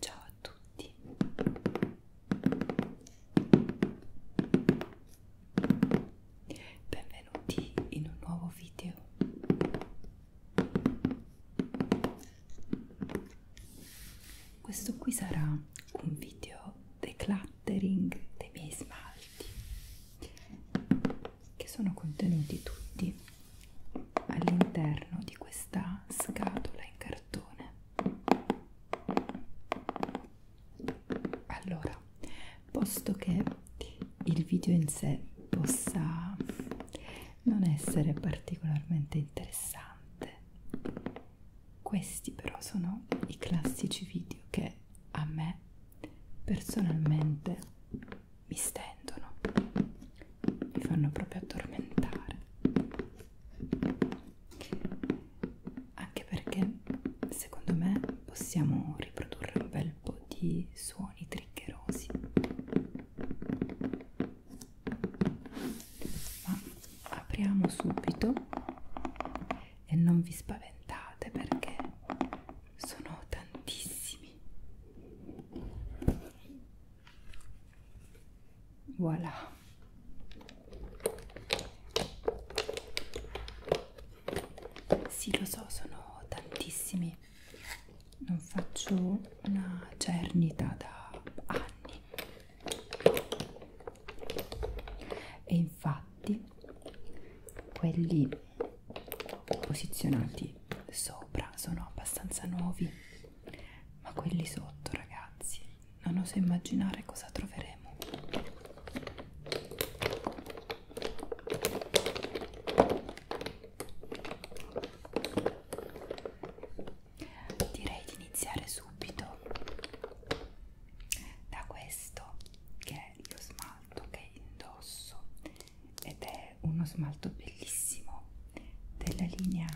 Ciao a tutti. Benvenuti in un nuovo video questo qui sarà un video decluttering dei miei smalti che sono contenuti tutti all'interno di questa scatola in cartone allora posto che il video in sé possa non essere particolarmente interessante questi però sono i classici video che a me personalmente mi stendono, mi fanno proprio addormentare. Anche perché secondo me possiamo riprodurre un bel po' di suoni triggerosi ma apriamo subito e non vi spaventate perché sono tantissimi voilà sì lo so sono tantissimi non faccio una cernita da anni e infatti quelli posizionati sopra sono abbastanza nuovi ma quelli sotto ragazzi non oso immaginare cosa troveremo direi di iniziare subito da questo che è lo smalto che indosso ed è uno smalto bellissimo della linea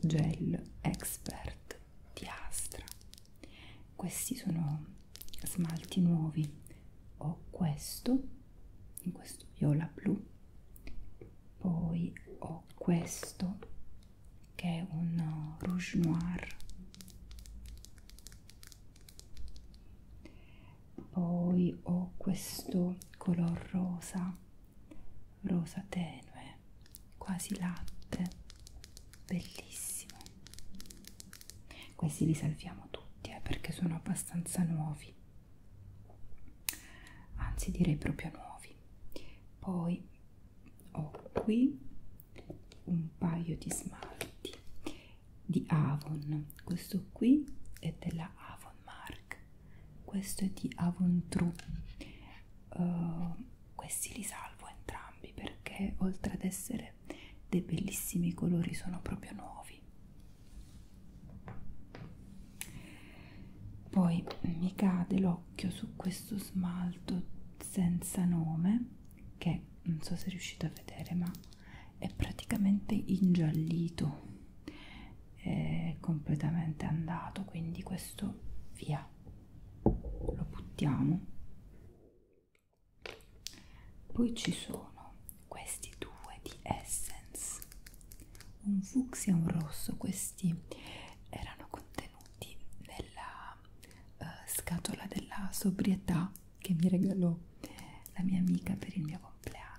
gel expert di Astra questi sono smalti nuovi ho questo in questo viola blu poi ho ho questo che è un uh, rouge noir poi ho questo color rosa rosa tenue quasi latte bellissimo questi li salviamo tutti eh, perché sono abbastanza nuovi anzi direi proprio nuovi schiaffi poi ho qui un paio di smalti di Avon questo qui è della Avon Mark questo è di Avon True uh, questi li salvo entrambi perché oltre ad essere dei bellissimi colori sono proprio nuovi poi mi cade l'occhio su questo smalto senza nome che non so se riuscite a vedere ma è praticamente ingiallito è completamente andato quindi questo via lo buttiamo poi ci sono questi due di essence un fucsia e un rosso questi erano contenuti nella uh, scatola della sobrietà che mi regalò la mia amica per il mio compleanno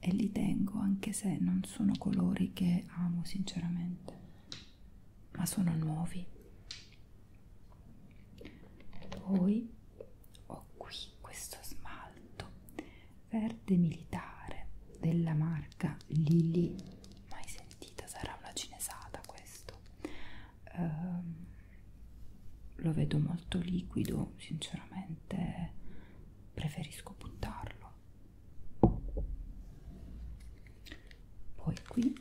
e li tengo anche se non sono colori che amo sinceramente ma sono nuovi poi ho qui questo smalto verde militare della marca Lili, mai sentita, sarà una cinesata questo. Um, lo vedo molto liquido, sinceramente preferisco buttarlo. Poi qui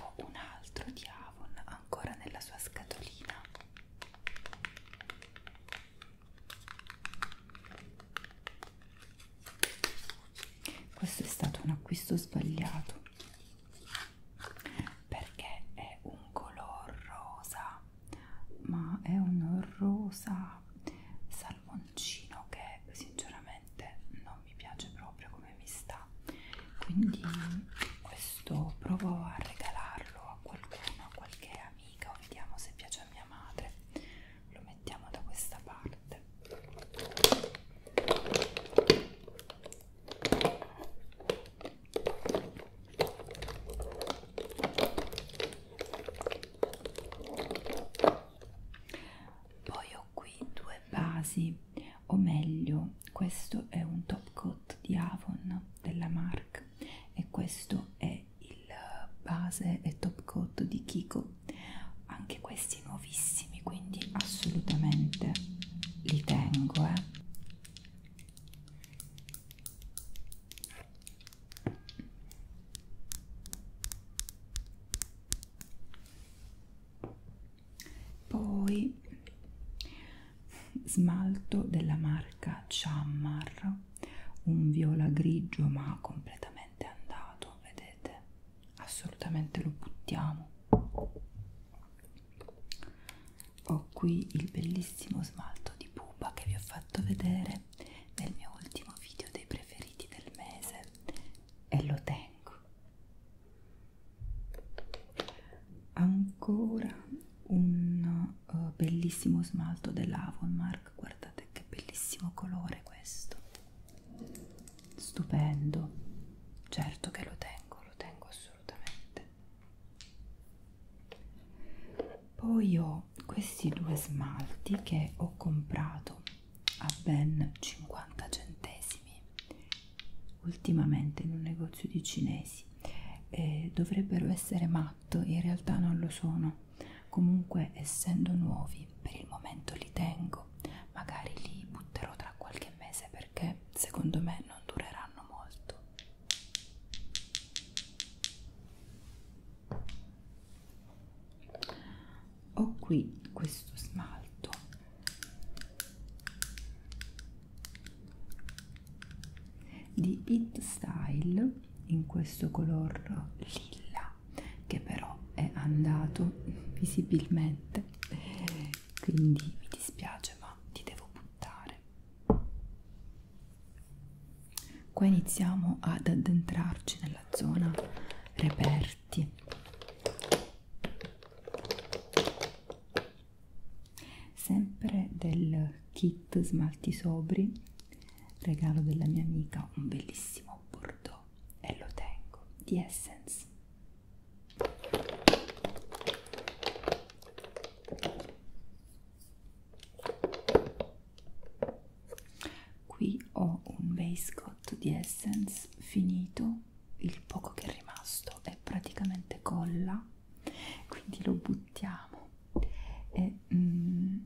ho un altro di Avon ancora nella sua scatolina questo è stato un acquisto sbagliato perché è un color rosa ma è un rosa salmoncino che sinceramente non mi piace proprio come mi sta quindi questo provo a regalarlo a qualcuno a qualche amica o vediamo se piace a mia madre lo mettiamo da questa parte poi ho qui due basi o meglio questo è un top coat di Avon della Marc e questo è il eh, base e top coat di Kiko anche questi nuovissimi quindi assolutamente li tengo eh. Poi smalto della marca Chammar un viola grigio ma completamente andato, vedete? Assolutamente lo buttiamo. Ho qui il bellissimo smalto di pupa che vi ho fatto vedere nel mio ultimo video dei preferiti del mese e lo tengo. Ancora un uh, bellissimo smalto dell'Avonmark Dark, guardate che bellissimo colore questo, stupendo, certo che lo tengo, lo tengo assolutamente. Poi ho questi due smalti che ho comprato a ben 50 centesimi ultimamente in un negozio di cinesi e eh, dovrebbero essere matto in realtà non lo sono Comunque, essendo nuovi, per il momento li tengo, magari li butterò tra qualche mese perché secondo me non dureranno molto. Ho qui questo smalto di It Style in questo color lilla che però è andato visibilmente quindi mi dispiace ma ti devo buttare qua iniziamo ad addentrarci nella zona reperti sempre del kit smalti sobri regalo della mia amica un bellissimo bordeaux e lo tengo di Essence qui ho un base coat di Essence finito il poco che è rimasto è praticamente colla quindi lo buttiamo e mm,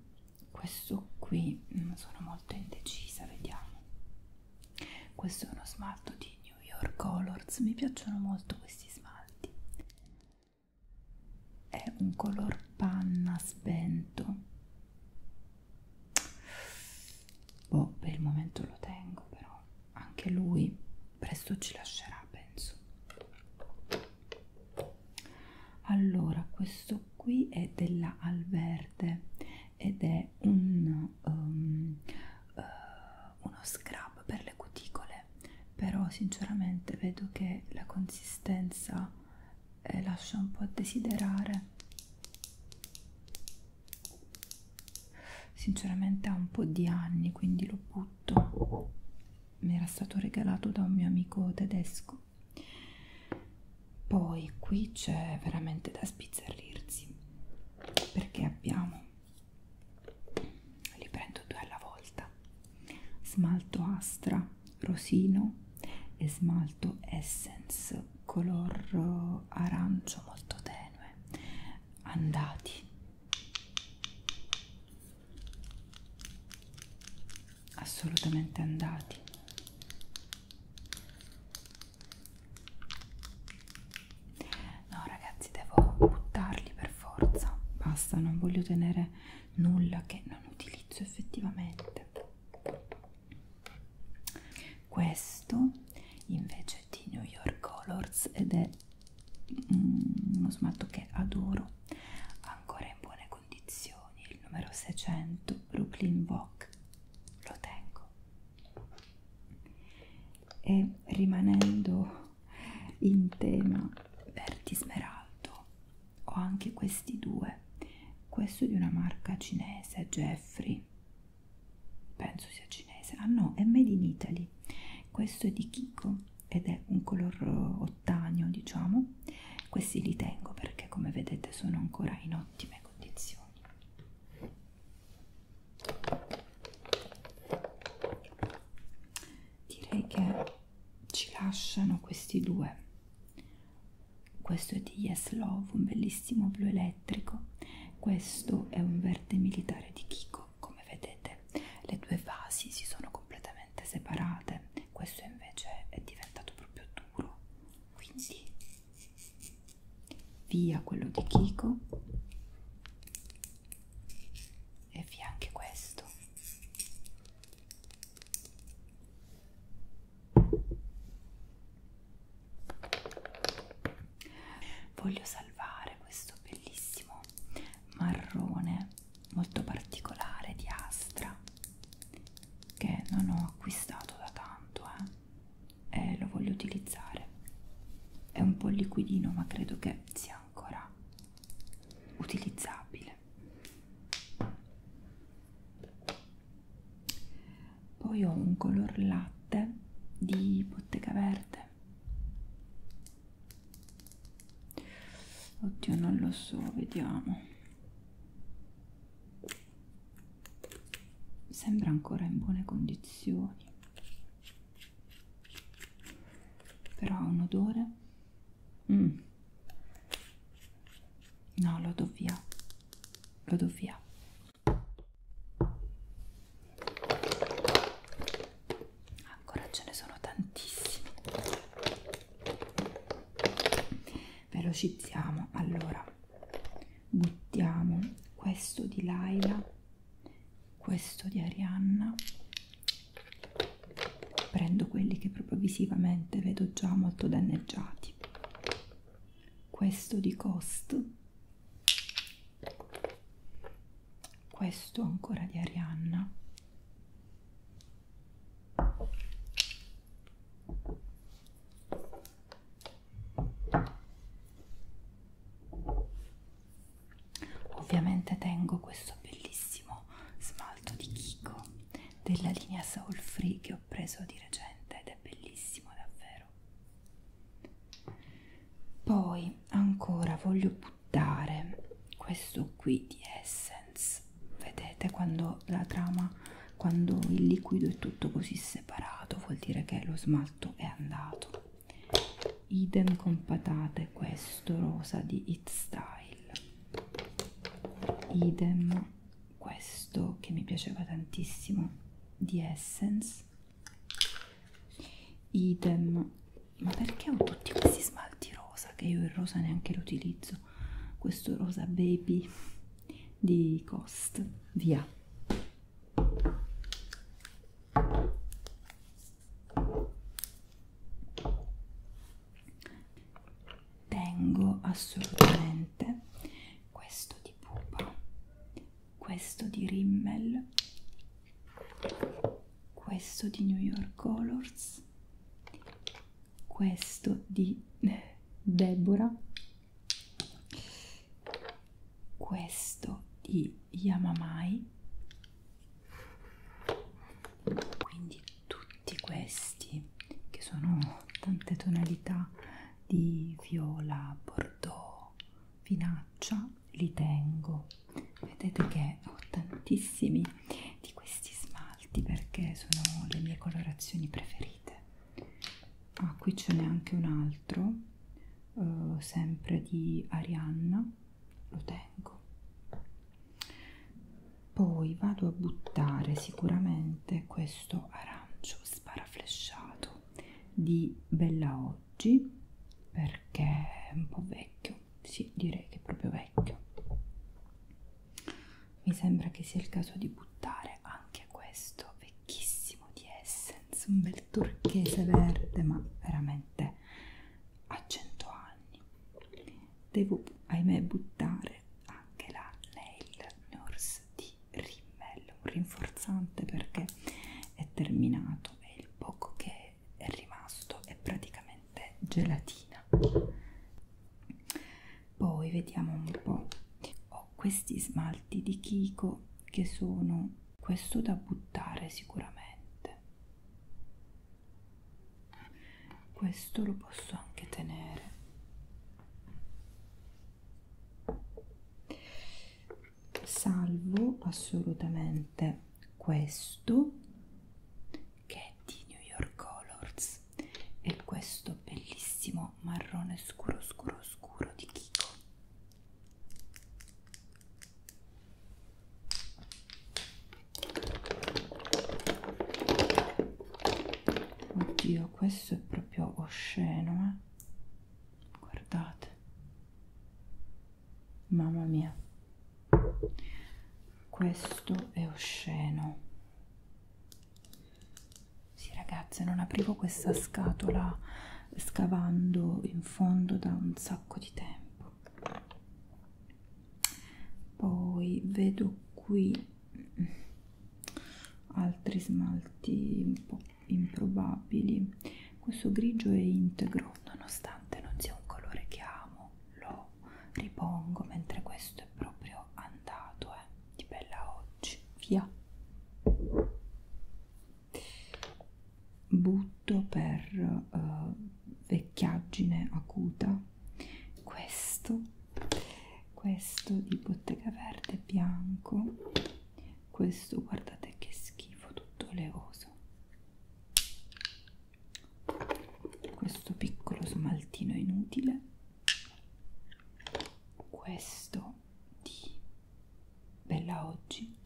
questo qui mm, sono molto indecisa vediamo questo è uno smalto di New York Colors mi piacciono molto questi smalti è un color panna spento boh per il momento lo tengo però anche lui presto ci lascerà penso allora questo qui è della Alverde ed è un, um, uh, uno scrub per le cuticole però sinceramente vedo che la consistenza eh, lascia un po' a desiderare sinceramente ha un po' di anni quindi lo butto mi era stato regalato da un mio amico tedesco poi qui c'è veramente da spizzarrirsi perché abbiamo li prendo due alla volta smalto astra rosino e smalto essence color eh, arancio molto tenue andati assolutamente andati no ragazzi devo buttarli per forza basta non voglio tenere nulla che non utilizzo effettivamente questo invece è di New York Colors ed è mm, uno smalto che adoro ancora in buone buone condizioni, il numero 600 Brooklyn Bock, lo tengo. E rimanendo in tema verdi smeraldo, ho anche questi due, questo di una marca cinese, Jeffrey, penso sia cinese, ah no, è made in Italy, questo è di Kiko ed è un color eh, ottaneo diciamo questi li tengo perché come vedete sono ancora in ottime condizioni direi che ci lasciano questi due questo è di Yes Love un bellissimo blu elettrico questo è un verde militare di Kiko come vedete le due vasi si sono completamente separate questo invece è diventato proprio duro quindi via quello di Kiko e via anche questo voglio salvare questo bellissimo marrone molto particolare di Astra che non ho acquistato da tanto eh? e lo voglio utilizzare è un po' liquidino ma credo che sia ancora utilizzabile poi ho un color latte di bottega verde oddio non lo so vediamo sembra ancora in buone condizioni però ha un odore mm. no lo do via lo do via ancora ce ne sono tantissimi velocizziamo allora buttiamo questo di Laila questo di Arianna prendo quelli che proprio visivamente vedo già molto danneggiati questo di Cost questo ancora di Arianna Ovviamente tengo questo bellissimo smalto di Kiko della linea Soul Free che ho preso di recente ed è bellissimo davvero. Poi ancora voglio buttare questo qui di essence vedete quando la trama quando il liquido è tutto così separato vuol dire che lo smalto è andato idem con patate questo rosa di it style idem questo che mi piaceva tantissimo di essence idem ma perché ho tutti questi smalti rosa che io il rosa neanche lo utilizzo questo rosa baby di cost via tengo assolutamente questo di pupa questo di rimmel questo di new york colors questo di eh, Deborah, questo di Yamamai, quindi tutti questi che sono tante tonalità di viola, bordeaux, finaccia, li tengo vedete che ho tantissimi di questi smalti perché sono le mie colorazioni preferite ah qui ce n'è anche un altro eh, sempre di Arianna lo tengo poi vado a buttare sicuramente questo arancio sparaflesciato di Bella Oggi perché è un po' vecchio vecchio, sì, direi che è proprio vecchio. Mi sembra che sia il caso di buttare anche questo vecchissimo di Essence, un bel turchese verde, ma veramente a 100 anni. Devo, ahimè, buttare anche la Nail Nurse di Rimmel, un rinforzante perché è terminato e il poco che è rimasto è praticamente gelatina poi vediamo un po' ho questi smalti di Kiko che sono questo da buttare sicuramente questo lo posso anche tenere salvo assolutamente questo che è di New York Colors e questo bellissimo marrone scuro scuro scuro di Kiko oddio questo è proprio osceno eh? guardate mamma mia questo è osceno sì ragazze non aprivo questa scatola scavando in fondo da un sacco di tempo poi vedo qui altri smalti un po' improbabili questo grigio è integro nonostante non sia un colore che amo lo ripongo mentre questo è proprio andato eh, di bella oggi via butto per uh, vecchiaggine acuta questo questo di bottega verde bianco questo guardate che schifo tutto levoso questo piccolo smaltino inutile questo di Bella Oggi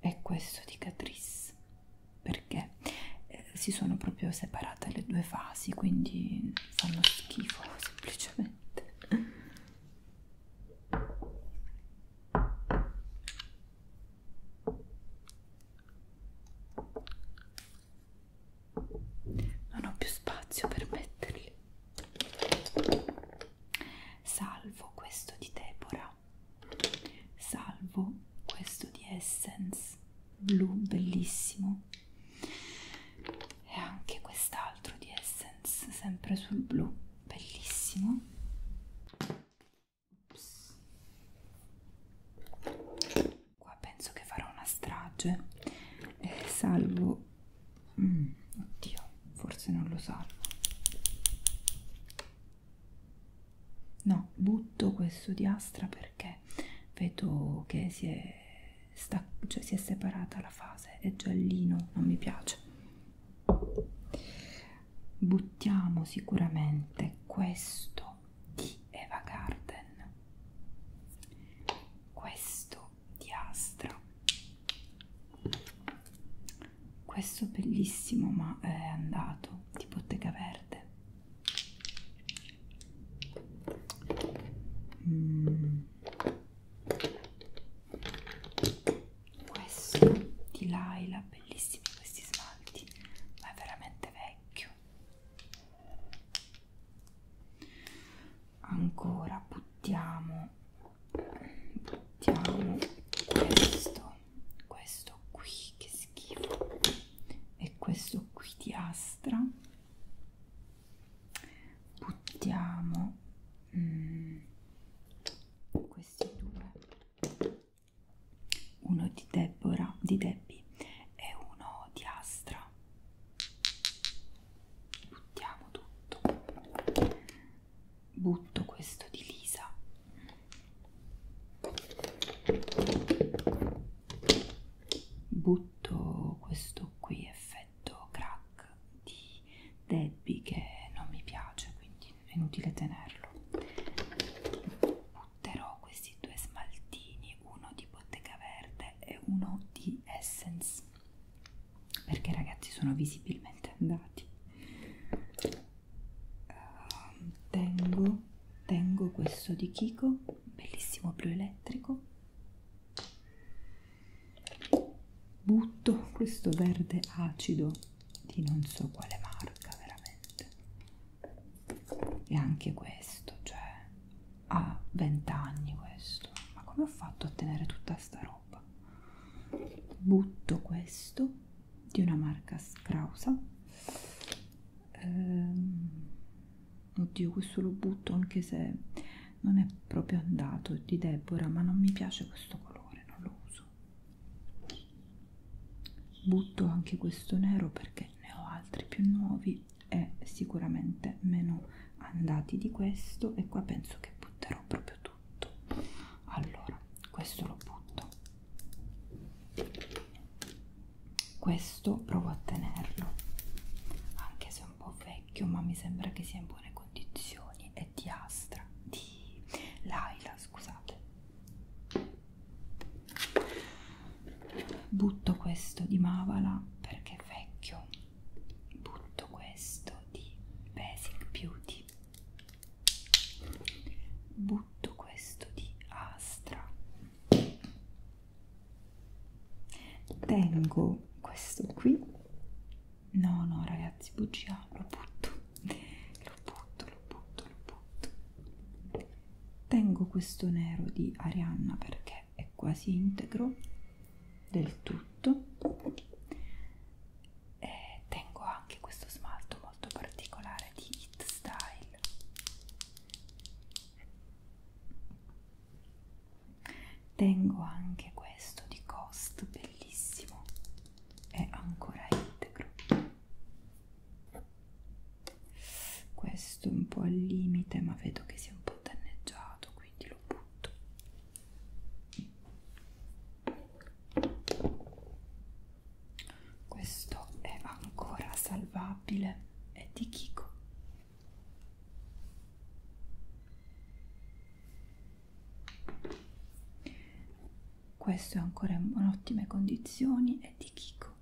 e questo di Catrice perché eh, si sono proprio separate le due fasi quindi fanno schifo semplicemente non ho più spazio per metterli salvo questo di Deborah salvo questo di Essence blu bellissimo e anche quest'altro di Essence sempre sul blu bellissimo Ups. Qua penso che farò una strage, eh, salvo... Mm, oddio, forse non lo salvo. No, butto questo diastra perché vedo che si è, sta, cioè si è separata la fase, è giallino, non mi piace buttiamo sicuramente questo di Eva Garden questo di Astra questo bellissimo ma è andato di bottega verde Mm questo di Laila, bellissimi questi smalti, ma è veramente vecchio. Ancora buttiamo, buttiamo questo, questo qui che schifo, e questo qui di Astra. Buttiamo mm, questi due uno di Deborah, di Debbie e uno di Astra. Buttiamo tutto. Butto questo di Lisa. Butto questo qui effetto crack di Debbie che non mi piace, quindi è inutile tenerlo butterò questi due smaltini uno di bottega verde e uno di essence perché ragazzi sono visibilmente andati uh, tengo, tengo questo di Kiko bellissimo blu elettrico butto questo verde acido di non so quale marca veramente e anche questo cioè ha 20 anni questo ma come ho fatto a tenere tutta sta roba butto questo di una marca scrausa ehm, oddio questo lo butto anche se non è proprio andato di Deborah ma non mi piace questo colore non lo uso butto anche questo nero perché ne ho altri più nuovi e sicuramente meno andati di questo e qua penso che butterò proprio tutto allora questo lo butto questo provo a tenerlo anche se è un po' vecchio ma mi sembra che sia in buone condizioni è di astra di di Laila, scusate. Butto questo di Mavala perché è vecchio. Butto questo di Basic Beauty. Butto questo di Astra. Tengo questo qui no no ragazzi bugia lo butto lo butto lo butto lo butto tengo questo nero di Arianna perché è quasi integro del tutto e tengo anche questo smalto molto particolare di It Style tengo anche questo di Cost bellissimo è ancora integro questo è un po' al limite ma vedo che sia un po' danneggiato quindi lo butto questo è ancora salvabile è di Kiko questo è ancora in ottime condizioni, è di Kiko.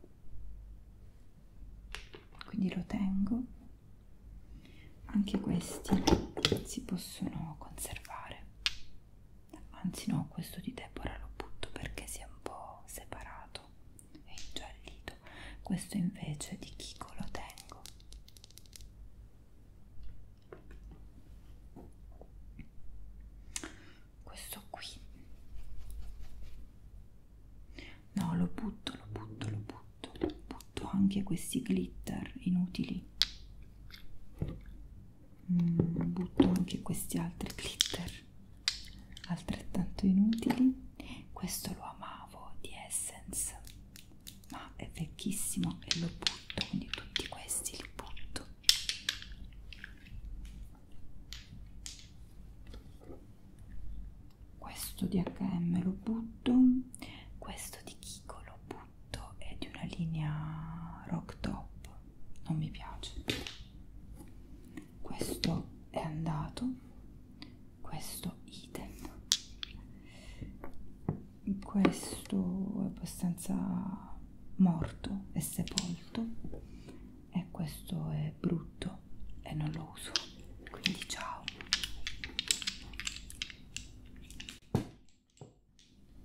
Quindi lo tengo. Anche questi si possono conservare. Anzi no, questo di Deborah lo butto perché si è un po' separato e ingiallito. Questo invece di Kiko lo tengo questo qui no lo butto lo butto lo butto butto anche questi glitter inutili mm, butto anche questi altri glitter altrettanto inutili questo lo amavo di essence ma è vecchissimo e lo butto quindi tutti questi li butto questo di H&M lo butto questo di Kiko lo butto è di una linea rock top non mi piace questo è andato questo idem questo è abbastanza morto e sepolto e questo è brutto e non lo uso quindi ciao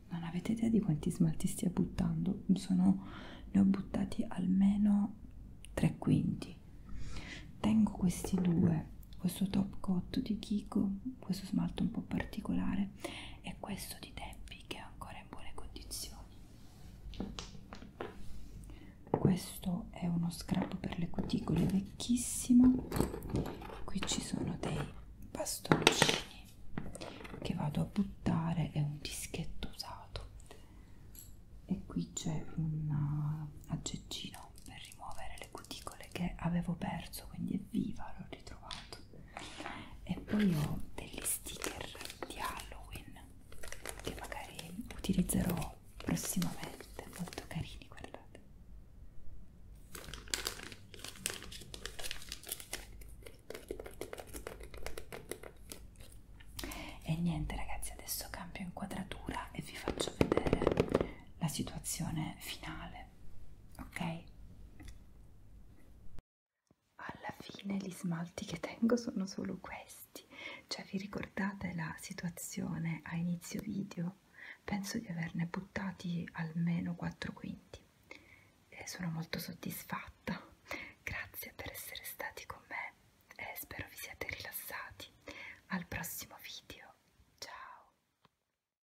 non avete idea di quanti smalti stia buttando sono ne ho buttati almeno tre quinti tengo questi due questo top coat di Kiko questo smalto un po' particolare bene e questo di tempi che è ancora in buone condizioni questo è uno scrap per le cuticole vecchissimo qui ci sono dei bastoncini che vado a buttare e un dischetto usato e qui c'è un uh, aggeggino per rimuovere le cuticole che avevo perso quindi è viva l'ho ritrovato e poi ho degli sticker di Halloween che magari utilizzerò prossimamente molto carini guardate e niente ragazzi adesso cambio inquadratura e vi faccio vedere la situazione finale breve ok alla fine gli smalti che tengo sono solo questi cioè vi ricordate la situazione a inizio video penso di averne buttati almeno 4 quinti e sono molto soddisfatta grazie per essere stati con me e spero vi siate rilassati al prossimo video ciao